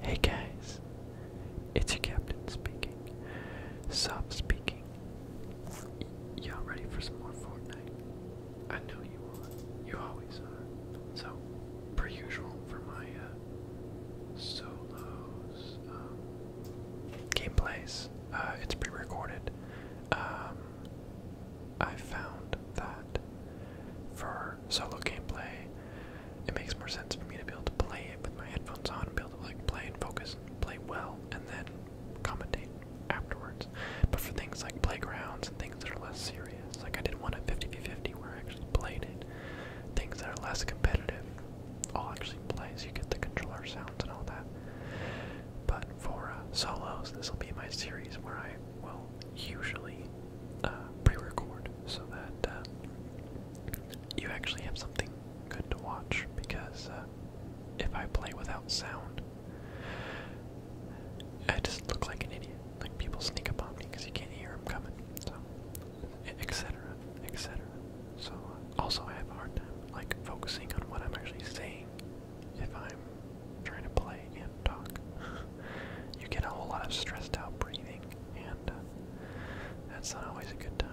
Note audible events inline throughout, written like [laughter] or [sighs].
Hey guys, it's your captain speaking. Soft speaking. Y'all ready for some more Fortnite? I know you are. You always are. So, per usual for my uh, solos um, gameplays, uh, it's pre-recorded. Um, I found that for more solo gameplay, it makes more sense for me to be able to play it with my headphones on and be able to like play and focus and play well and then commentate afterwards. But for things like playgrounds and things that are less serious, like I did one at 50v50 where I actually played it, things that are less competitive, I'll actually play so you get the controller sounds and all that. But for uh, solos, this will be my series where I will usually uh, pre-record so that uh, you actually have something good to watch because uh, if I play without sound, I just look like an idiot. Like people sneak up on me because you can't hear them coming, so etc. etc. So also I have a hard time like focusing on what I'm actually saying if I'm trying to play and talk. [laughs] you get a whole lot of stressed out breathing, and uh, that's not always a good time.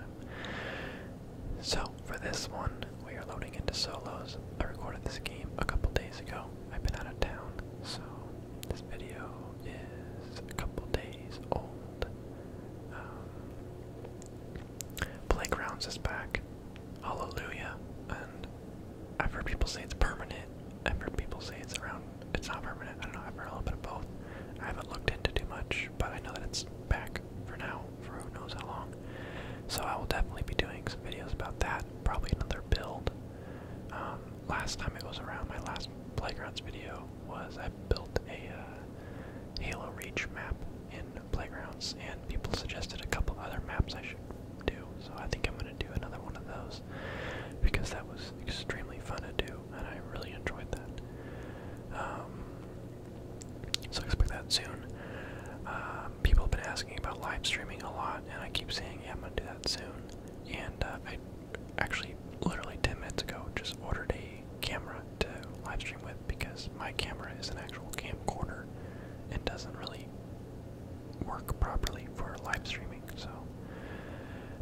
So, for this one, we are loading into solos. I recorded this game a couple days ago. I've been out of town, so this video is a couple days old. Um, Playgrounds is back. Hallelujah. And I've heard people say it's permanent. I've heard people say it's around it's not permanent. I don't know. I've heard a little bit of both. I haven't looked into too much, but I know that it's back for now for who knows how long. So I will definitely be doing some videos about that. Probably another build. Um, last time it was around my last playgrounds video was I built a uh, Halo Reach map in playgrounds, and people suggested a couple other maps I should do. So I think I'm gonna do another one of those because that was extremely fun to do and I really enjoyed that. Um, so expect that soon. Um, people have been asking about live streaming a lot and I keep saying, yeah, I'm gonna do that soon. And uh, I actually literally 10 minutes ago just ordered a camera to live stream with because my camera is an actual camcorder and doesn't really work properly for live streaming so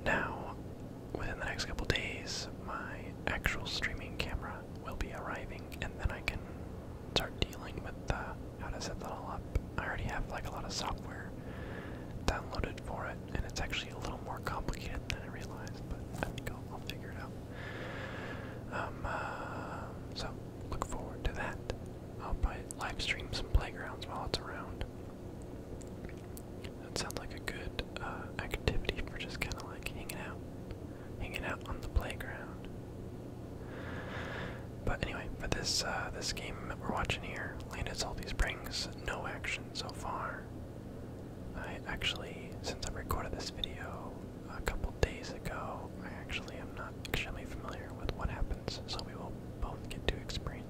now within the next couple days, my actual streaming camera will be arriving, and then I can start dealing with uh, how to set that all up. I already have like a lot of software downloaded for it, and it's actually a little more complicated than I realized, but I will figure it out. Um, uh, so look forward to that. I'll probably live stream some playgrounds while it's around. That sounds like a good uh, activity for just kind of like hanging out, hanging out on the playground. But anyway, for this uh, this game that we're watching here, Land of Salty Springs, no action so far. I actually, since I recorded this video a couple days ago, I actually am not extremely familiar with what happens, so we will both get to experience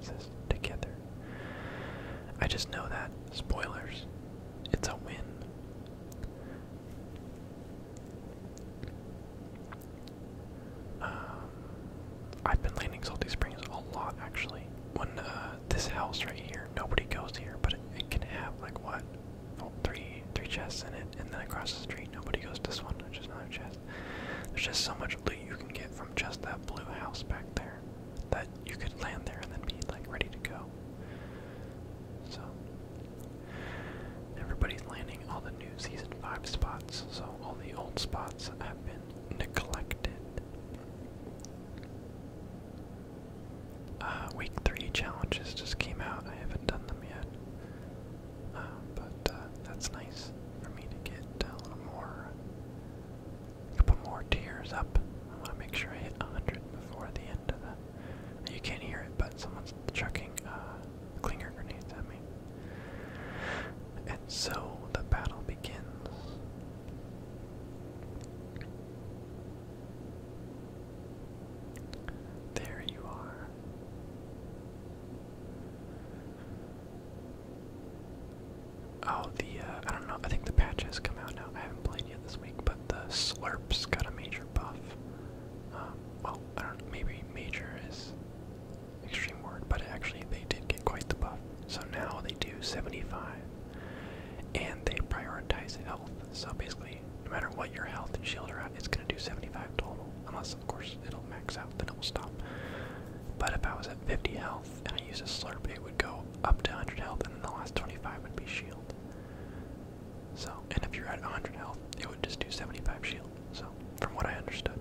together. I just know that, spoilers, it's a win. Um, I've been landing Salty Springs a lot actually. When uh, this house right here, nobody goes here, but it, can have like what? Oh, three chests in it, and then across the street, nobody goes to this one, which is another chest. There's just so much loot you can get from just that blue house back there that you could land there and then be like ready to go. So everybody's landing all the new season five spots, so all the old spots have been neglected. Uh, week three challenges just came out. I haven't done them yet, uh, but uh, that's nice for me to get a little more a couple more tiers up. I want to make sure I hit 100 before the end of the. You can't hear it, but someone's chucking uh, clinger grenades at me. And so the battle begins. There you are. Oh, the, uh, I don't know, I think the patch has come out now. I haven't played yet this week, but the Slurps got a major buff. Um, well, I don't maybe major is extreme word, but actually they did get quite the buff. So now they do 75, and they prioritize health. So basically, no matter what your health and shield are at, it's going to do 75 total. Unless, of course, it'll max out, then it will stop. But if I was at 50 health, and I used a slurp, it would go up to 100 health and then the last 25 would be shield. So, and if you're at 100 health, it would just do 75 shield. So, from what I understood.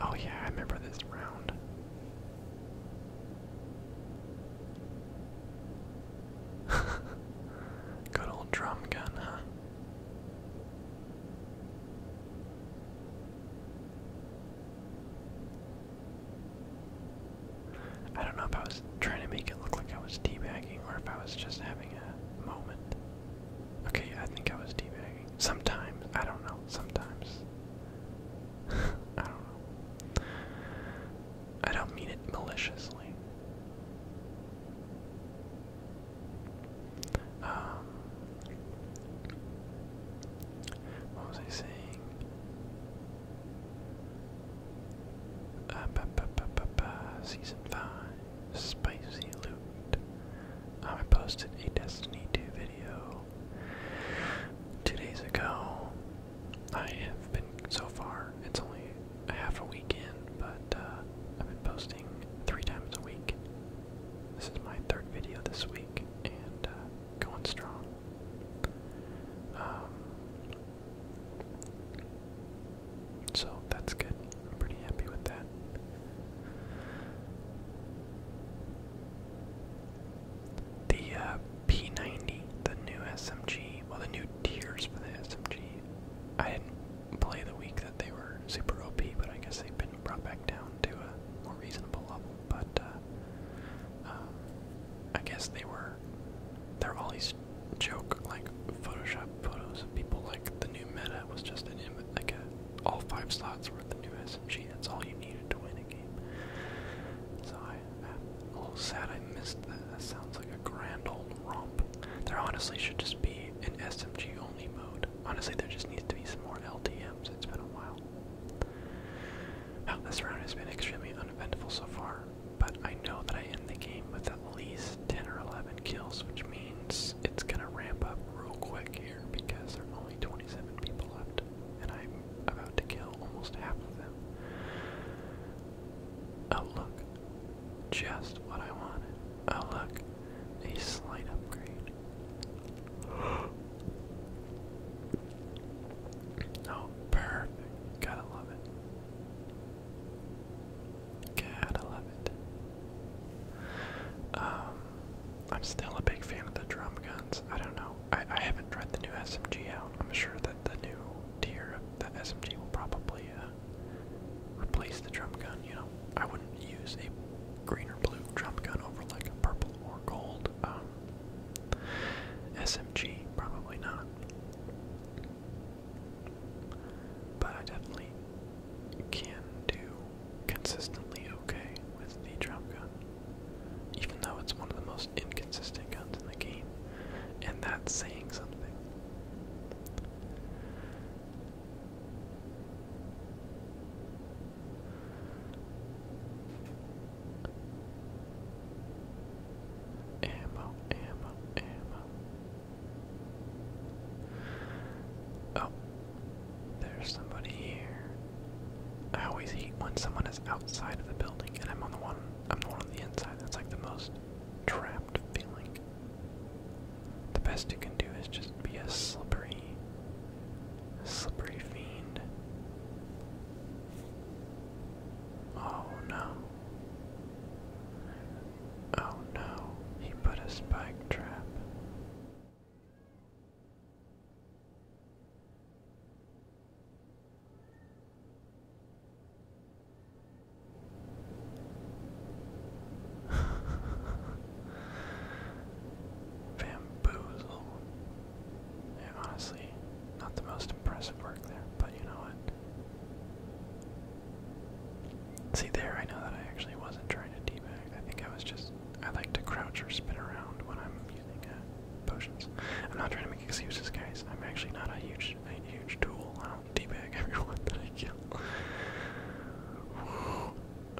Oh yeah, I remember this round. [laughs] Good old drum gun, huh? I don't know if I was trying to make it look like I was teabagging or if I was just having a moment. Okay, I think I was teabagging. Sometimes, I don't know, sometimes. [laughs] I don't know. I don't mean it maliciously. Um, what was I saying? Uh, season 5, Spicy Loot. Um, I posted a Destiny 2 video two days ago. I have been, so far, it's only half a week in, but uh, I've been posting three times a week this is my third video this week and uh, going strong. Um, so that's good. I'm pretty happy with that. The uh, P90, the new SMG, well, the new tiers for the SMG. I play the week that they were super OP, but I guess they've been brought back down to a more reasonable level. But uh, uh, I guess they were they are all these joke like Photoshop photos of people like the new meta was just an image like a, all five slots were the new SMG. That's all you needed to win a game. So I, I'm a little sad I missed that. That sounds like a grand old romp. There honestly should just be an SMG only mode. Honestly, there just needs to be some more LTMs. It's been a while. this round has been extremely uneventful so far, but I know that I end the game with at least 10 or 11 kills, which means it's gonna ramp up real quick here because there are only 27 people left, and I'm about to kill almost half of them. Oh, look. Just what I wanted. Oh, look a slight upgrade. [gasps] Oh, perfect. Gotta love it. Gotta love it. Um, I'm still a big fan of the drum guns. I don't know. I, I haven't tried the new SMG out. I'm sure that the new tier of the SMG will probably uh, replace the drum gun, you know? I wouldn't use a green or blue jump gun over like a purple or gold um, SMG. Probably not. But I definitely can do consistently okay with the jump gun, even though it's one of the most inconsistent guns in the game, and that's saying something. Ammo, ammo, ammo. Oh, there's somebody here. I always hate when someone is outside of the building and I'm on the one I'm the one on the inside. That's like the most trapped feeling the best you can do is just be a slippery, slippery fiend. Oh no. Oh no, he put a spike trap. [laughs] Bamboozle. Yeah, honestly, not the most impressive work there, but you know what? See, there I know that I actually wasn't trying to teabag. I think I was just. I like to crouch or spin around when I'm using uh, potions. I'm not trying to make excuses, guys. I'm actually not a huge, a huge tool. I don't teabag [laughs] everyone that I kill.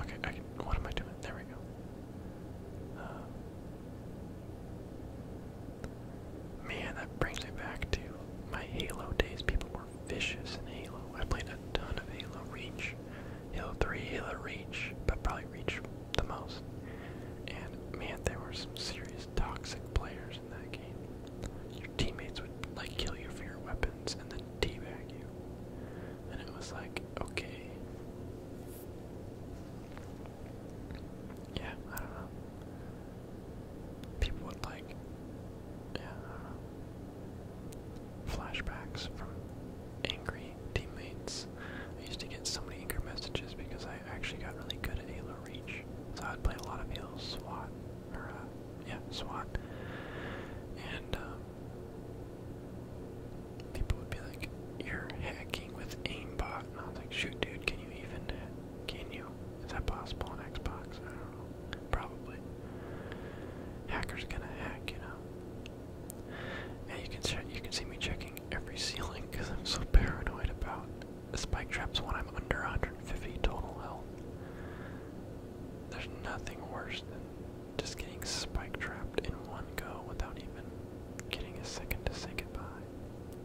Okay, what am I doing? There we go. Uh, man, that brings me back to my Halo days. People were vicious in Halo. I played a ton of Halo Reach, Halo 3, Halo Reach, but probably Reach the most. And man, there were some serious toxic players in that game. Your teammates would like kill you for your weapons and then teabag you and it was like, okay. Yeah, I don't know. People would like, yeah, I don't know. Flashbacks from angry teammates. I used to get so many angry messages because I actually got really good at Halo Reach. So I would play a lot of Halo SWAT, or uh, yeah, SWAT. And um, People would be like, "You're hacking with aimbot," and I was like, "Shoot, dude, can you even? Can you? Is that possible on Xbox? Probably. Hackers gonna hack, you know." And you can you can see me checking every ceiling because I'm so paranoid about the spike traps when I'm under 150 total health. There's nothing worse than just getting spike trapped in one go without even getting a second to say goodbye.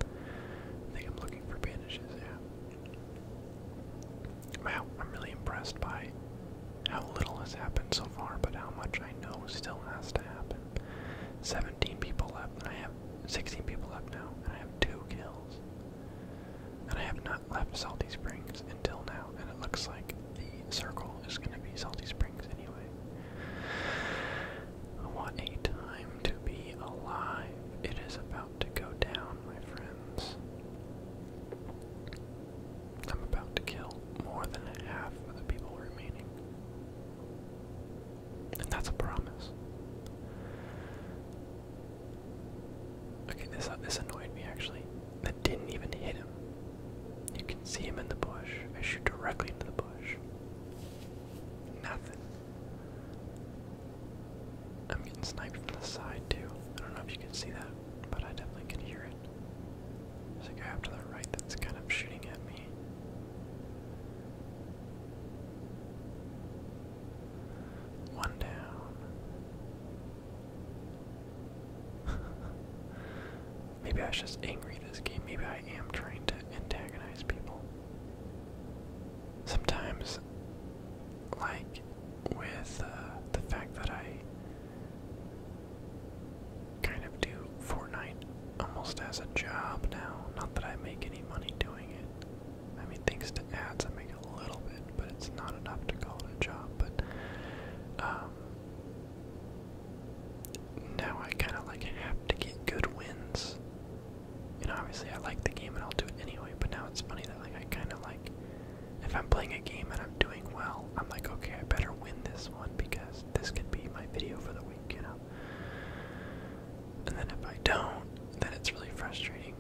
I think I'm looking for bandages, yeah. Wow, I'm really impressed by how little has happened so far, but how much I know still has to happen. 17 people left, and I have 16 people left now, and I have two kills. And I have not left Salty Springs until now, and it looks like the circle is going to be Salty Springs anyway. I want a time to be alive! It is about to go down, my friends. I'm about to kill more than half of the people remaining. And that's a promise. Okay, this uh, this annoyed me actually. That didn't even hit him. You can see him in the bush. I shoot directly into the bush. Nothing. I'm getting sniped from the side too. I don't know if you can see that, but I definitely can hear it. There's a guy the right that's kind of shooting at me. One down. [laughs] Maybe I was just angry this game. Maybe I am trying to antagonize people. Sometimes, like with uh, the fact that I kind of do Fortnite almost as a job now, not that I make any money doing it. I mean, thanks to ads, I make a little bit, but it's not enough to call it a job. But um, now I kind of like have to get good wins. You know, obviously I like the game and I'll do it anyway, but now it's funny that like I kind of like if I'm playing a game and I'm doing well, I'm like, okay, I better win this one because this could be my video for the week, you know. And then if I don't, then it's really frustrating.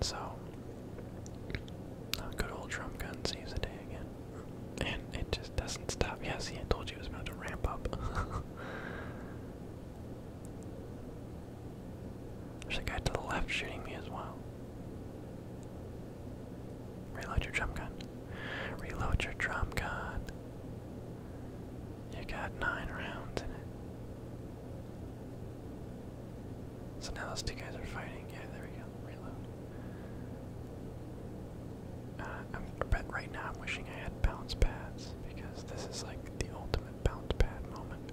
So, uh, good old Trump gun saves the day again. And it just doesn't stop. Yeah, see, I told you it was about to ramp up. [laughs] There's a guy to the left shooting me as well. Reload your drum gun. Reload your drum gun. You got nine rounds in it. So now those two guys are fighting. Yeah, there we go. Reload. Uh, I bet right now I'm wishing I had bounce pads because this is like the ultimate bounce pad moment.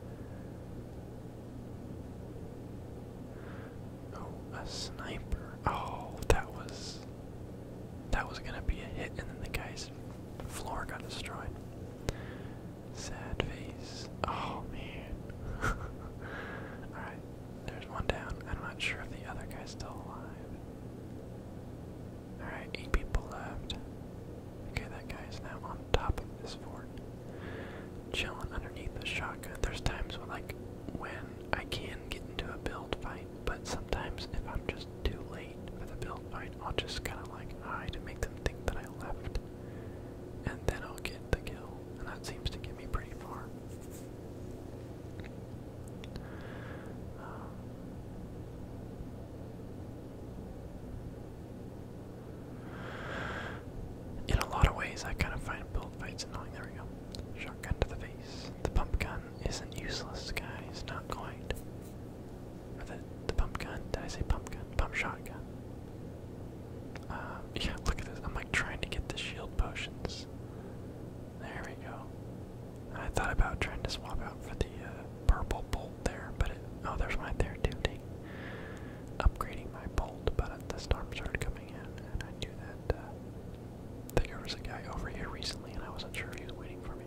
Oh, a sniper. Oh, that was. That was gonna be a hit, and then the guy's floor got destroyed. Sad face. Oh man. [laughs] Alright, there's one down. I'm not sure if the other guy's still alive. Alright, eight people left. Okay, that guy's now on top of this fort. Chilling underneath the shotgun. There's times when, like, when I can get into a build fight, but sometimes if I'm just too late for the build fight, I'll just kind of like hide and make them think that I left, and then I'll get the kill that seems to get me pretty far. Um, in a lot of ways, I kind of find build fights annoying. There we go. Shotgun to the face. The pump gun isn't useless, guys. Not quite. Or the, the pump gun? Did I say pump gun? Pump shotgun. Um, yeah, look at this. I'm like trying to get the shield potions. There we go. I thought about trying to swap out for the uh, purple bolt there, but oh, there's my there too. Dang. Upgrading my bolt, but the storm started coming in, and I knew that. Uh, there was a guy over here recently, and I wasn't sure if he was waiting for me.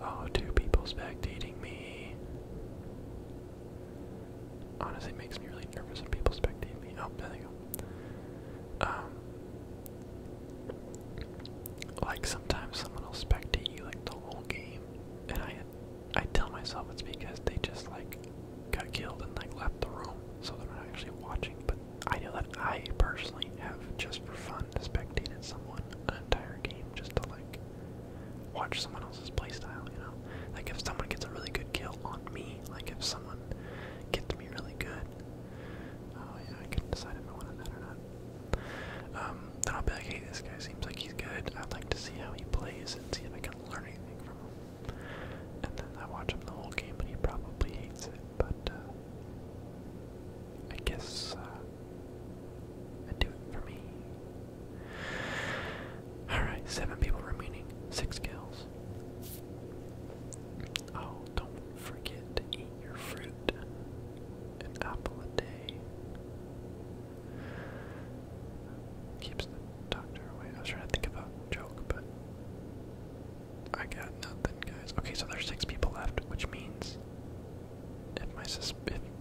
Oh, two people's spectating me. Honestly, makes me really nervous when people spectate me. Oh, there they go. Um, like sometimes someone will spectate you like the whole game, and I, I tell myself it's because they just like got killed and like left the room, so they're not actually watching. But I know that I personally have just for fun spectated someone an entire game just to like watch someone else's playstyle. You know, like if someone gets a really good kill on me me. Like if someone gets me really good. Oh yeah, I couldn't decide if I wanted that or not. Um, then I'll be like, hey, this guy seems like he's good. I'd like to see how he plays and see if I can learn anything from him. And then I watch him the whole game, and he probably hates it. But uh, I guess uh, I do it for me. Alright, seven people remaining. Six kills. Oh, don't forget to eat your fruit. An apple a day. Keeps the doctor away. I was trying to think of a joke, but I got nothing, guys. Okay, so there's six people left, which means if my if,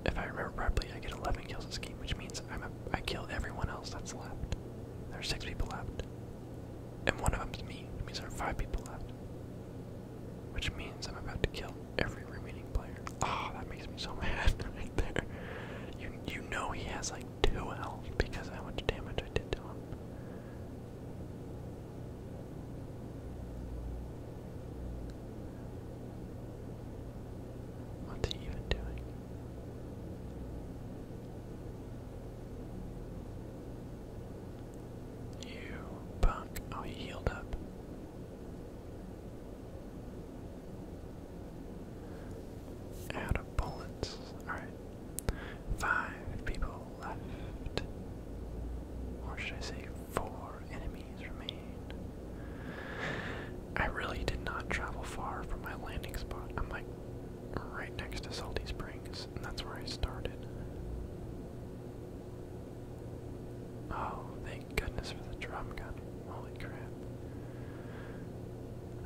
if I remember properly, I get 11 kills this game, which means I'm a, I kill everyone else that's left. There are six people left. And one of them's me. It means there are five people left. Which means I'm about to kill every remaining player. Ah, that makes me so [laughs] mad right there. You you know he has like two health because of how much damage I did to him. What's he even doing? You punk. Oh, healed up. Out of bullets. Alright. Five people left. Or should I say, four enemies remain. I really did not travel far from my landing spot. I'm like right next to Salty Springs, and that's where I started. Oh, thank goodness for the drum gun. Holy crap.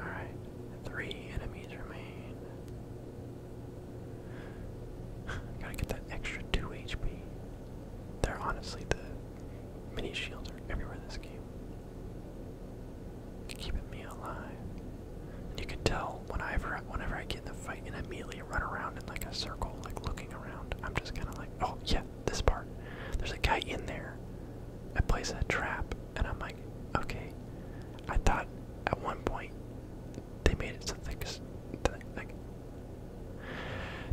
Alright, three enemies remain. [sighs] Gotta get that extra 2 HP. They're honestly the mini shields are everywhere in this game keeping me alive. And you can tell whenever I get in the fight and immediately run around in like a circle, like looking around. I'm just kind of like, oh yeah, this part. There's a guy in there. I place a trap, and I'm like, okay. I thought at one point they made it so thick, like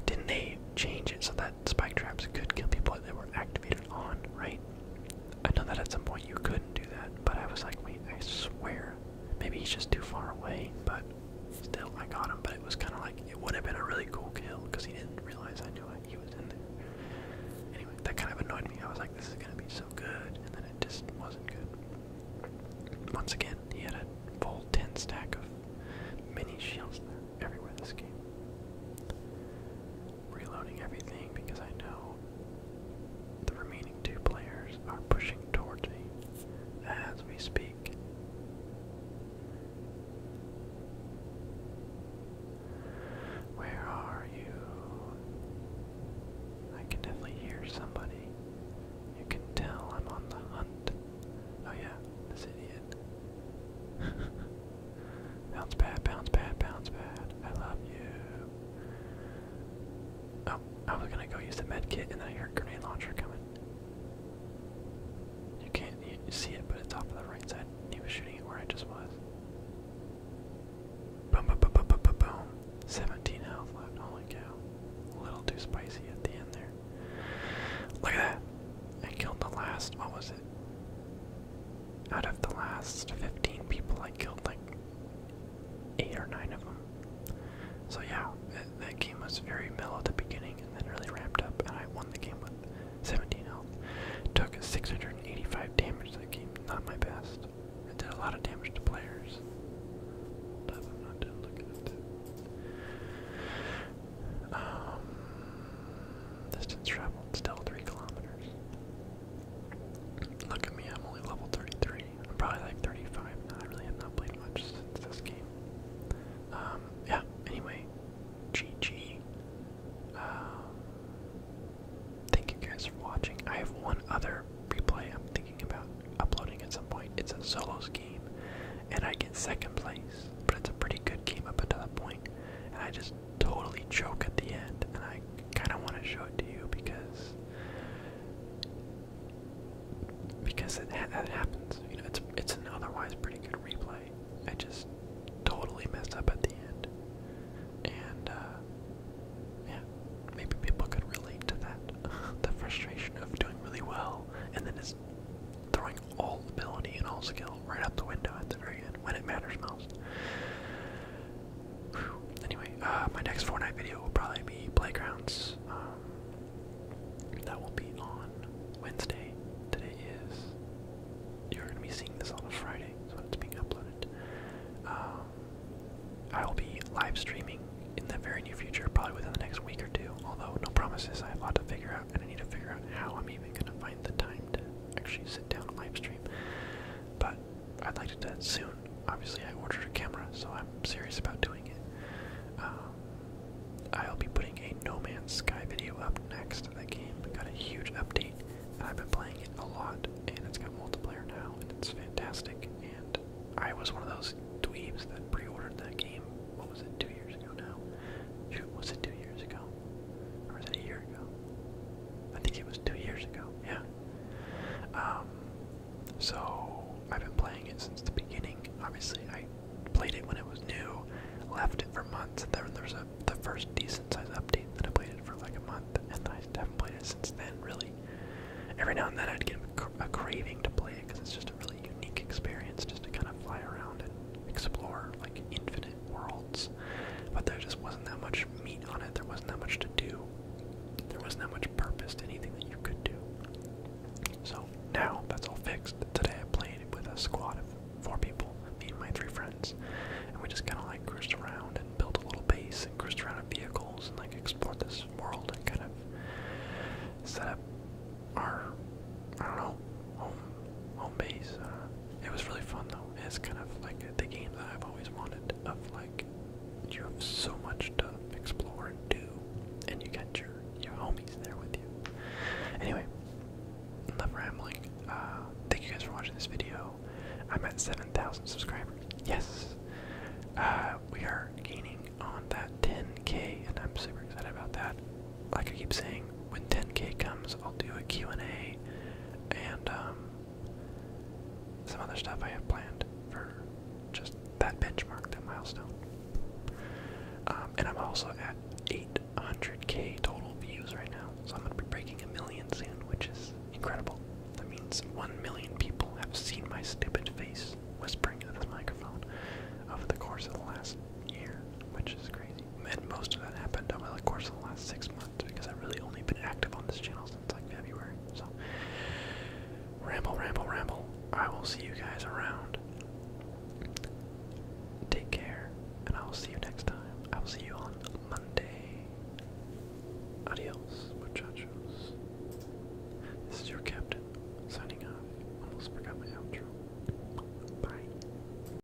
didn't they change it so that spike traps could kill people if they were active? on, right? I know that at some point you couldn't do that, but I was like, wait, I swear. Maybe he's just too far away, but still, I got him. But it was kind of like, it would have been a really cool kill because he didn't realize I knew it. he was in there. Anyway, that kind of annoyed me. I was like, this is going to be so good. And then it just wasn't good. Once again, he had a full 10 stack of mini shields there everywhere this game reloading everything because I know the remaining two players are pushing towards me as we speak. Where are you? I can definitely hear somebody. You can tell I'm on the hunt. Oh yeah, this idiot. [laughs] Bounce bad, bounce bad, bounce bad. I love you. Oh, I was gonna go use the med kit and I heard grenade launcher coming. You can't see it, but it's off to the right side. He was shooting it where I just was. boom, boom, boom, boom, boom, boom. 17 health left. Holy cow. A little too spicy at the end there. Look at that. I killed the last, what was it? Out of the last 15 people, I killed like 8 or 9 of them. So, yeah, that, game was very mellow at the beginning and then really ramped up, and I won the game with 17 health. Took 685 damage that game, not my best. It did a lot of damage to players. Um, Distance traveled still 3 kilometers. Look at me, I'm only level 33. I'm probably like 35 now. I really have not played much since this game. Um, yeah, anyway, GG. Uh, thank you guys for watching. I have one other replay I'm thinking about uploading at some point. It's a solo game, and I get second place, but it's a pretty good game up until that point, and I just totally choke at the end, and I kind of want to show it to you because because it happens. You know, it's it's an otherwise pretty good replay. I just totally messed up at the end, and uh, yeah, maybe people could relate to that—the [laughs] frustration of doing really well and then just throwing all ability and all skills right out the window at the very end when it matters most. Anyway, uh, my next Fortnite video will probably be Playgrounds. Um, that will be on Wednesday. Today is. You're going to be seeing this on a Friday, so it's being uploaded. Um, I will be live streaming in the very near future, probably within the next week or two. Although no promises, I have a lot to figure out, and I need to figure out how I'm even going to find the time to actually sit down live stream. But I'd like to do that soon. Obviously, I ordered a camera, so I'm serious about doing it. Um, I'll be putting a No Man's Sky video up next. That game got a huge update, and I've been playing it a lot, and it's got multiplayer now, and it's fantastic. And I was one of those dweebs that pre-ordered that game. What was it, two years ago now? Shoot, was it two years ago? Or was it a year ago? I think it was two years ago. Yeah. Um, so I've been playing it since the beginning. Obviously, I played it when it was new, left it for months, and then there was a, the first decent size update. Then I played it for like a month, and I haven't played it since then. Really, every now and then I'd get a, cra a craving to play it because it's just a really unique experience, just to kind of fly around and explore like infinite Worlds, but there just wasn't that much meat on it. There wasn't that much to do. There wasn't that much purpose to anything that you could do. So now that's all fixed. Today I played with a squad of four people, me and my three friends, and we just kind of like cruised around and built a little base and cruised around in vehicles and like explored this world and kind of set up our I don't know home home base. Uh, it was really fun though. It's kind of like the game that I've always wanted. Of like, you have so much to explore and do, and you got your your homies there with you. Anyway, enough rambling. Uh, thank you guys for watching this video. I'm at 7,000 subscribers. Yes, uh, we are gaining on that 10k, and I'm super excited about that like I keep saying, when 10k comes, I'll do a Q&A and um, some other stuff I have planned for just that benchmark, that milestone. Um, and I'm also at 800k total views right now, so I'm gonna be breaking a million soon, which is incredible. That means one million people have seen my stupid face whispering into the microphone over the course of the last year, which is crazy. And most of that happened over the course of the last six months because I've really only been active on this channel since like February. So, ramble, ramble, ramble. I will see you guys around. Take care, and I will see you next time. I will see you on Monday. Adios, muchachos. This is your captain, signing off. Almost forgot my outro. Bye.